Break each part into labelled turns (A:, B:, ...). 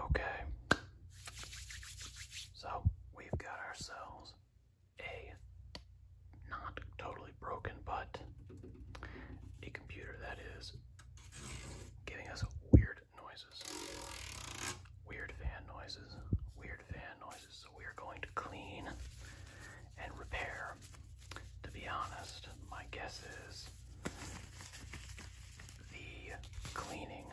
A: Okay. So we've got ourselves a not totally broken, but a computer that is giving us weird noises. Weird fan noises. Weird fan noises. So we are going to clean and repair. To be honest, my guess is the cleaning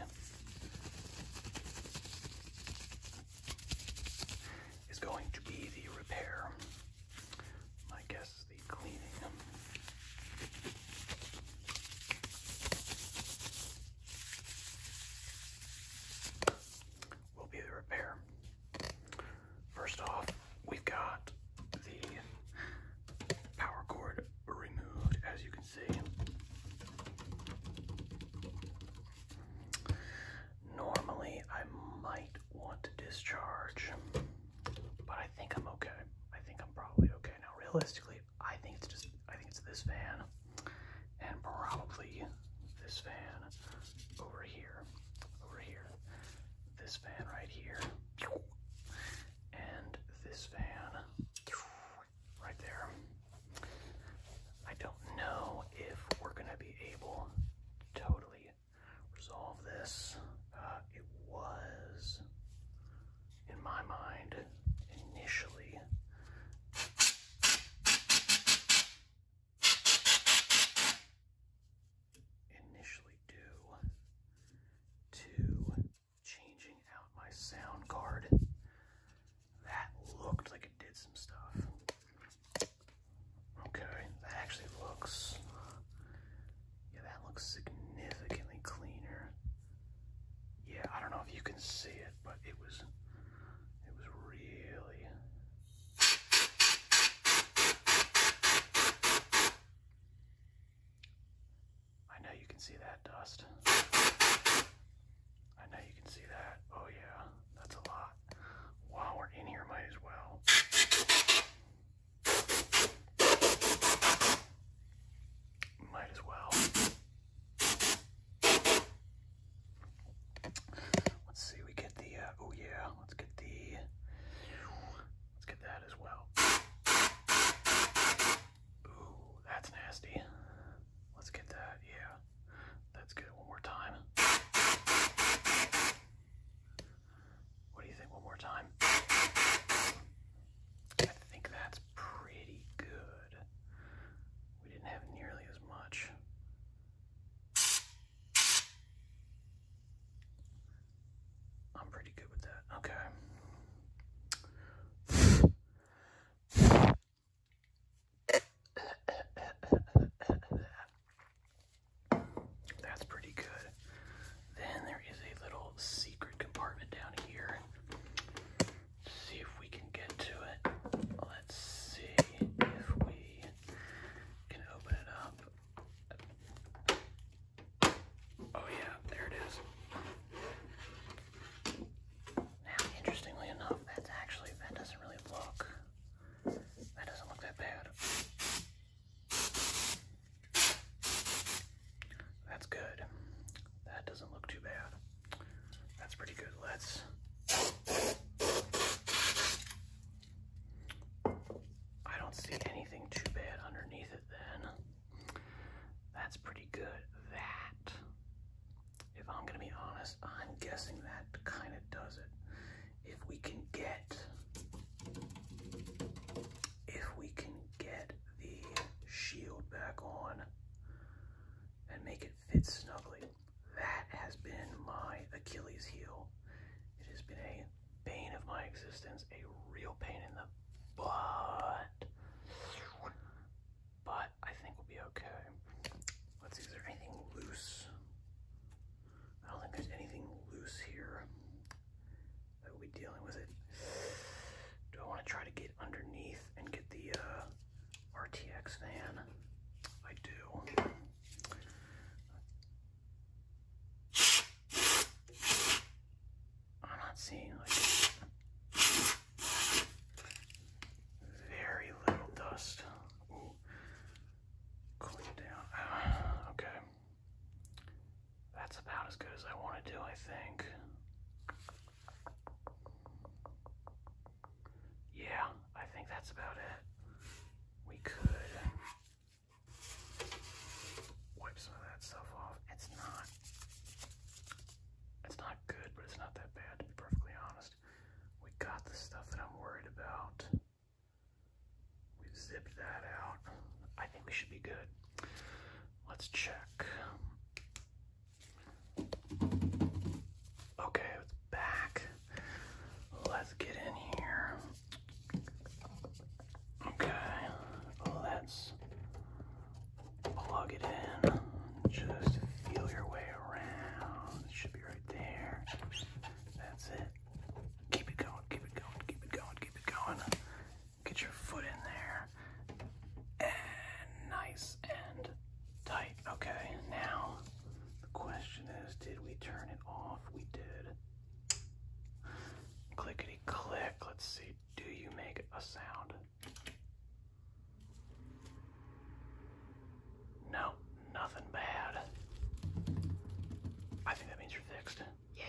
A: is going to be the repair. My guess the cleaning. Will be the repair. First off, we've got the power cord removed, as you can see. Normally, I might want to discharge, but I think I'm okay. I think I'm probably okay. Now, realistically, I think it's just, I think it's this van and probably this van over here, over here this fan right here, and this fan right there. I don't know if we're going to be able to totally resolve this. Uh, it was, in my mind, initially initially do to changing out my sound card. That looked like it did some stuff. Okay, that actually looks, yeah, that looks significantly cleaner. Yeah, I don't know if you can see it, but it was, it was really I know you can see that dust. I know you can see that. Oh yeah, that's a lot. While we're in here, might as well. Might as well. Let's see, we get the, uh, oh yeah, let's get the, let's get that as well. Ooh, that's nasty. Let's get that, yeah. That's good, one more time. What do you think, one more time? I think that's pretty good. We didn't have nearly as much. I'm pretty good with that. Okay. That's pretty good. Then there is a little secret compartment down here. see if we can get to it. Let's see if we can open it up. Oh yeah, there it is. Now, interestingly enough, that's actually that doesn't really look. That doesn't look that bad. That's good. That doesn't look too bad. That's pretty good. Let's I don't see anything too bad underneath it then. That's pretty good. That, if I'm gonna be honest, I'm guessing that kind of does it. If we can get, if we can get the shield back on and make it fit snugly, that has been my Achilles heel. It has been a bane of my existence, a real pain in the butt. But I think we'll be okay. Let's see, is there anything loose? I don't think there's anything loose here that we'll be dealing with it. Do I want to try to get underneath and get the uh, RTX van. I do. I'm not seeing very little dust. Ooh. Cool okay. That's about as good as I want to do, I think. Yeah, I think that's about it. We could wipe some of that stuff off. It's not it's not good, but it's not that bad to be perfectly honest. We got the stuff that I'm worried about. We've zipped that out. I think we should be good. Let's check. Okay, it's back. Let's get in here. Okay, let's plug it in. Just feel your way around. It should be right there. That's it. Keep it going, keep it going, keep it going, keep it going. Get your foot in there. And nice and tight. Okay, now the question is did we turn it off? We did. Clickety click. Let's see. Do you make a sound? No, nothing bad. I think that means you're fixed. Yeah.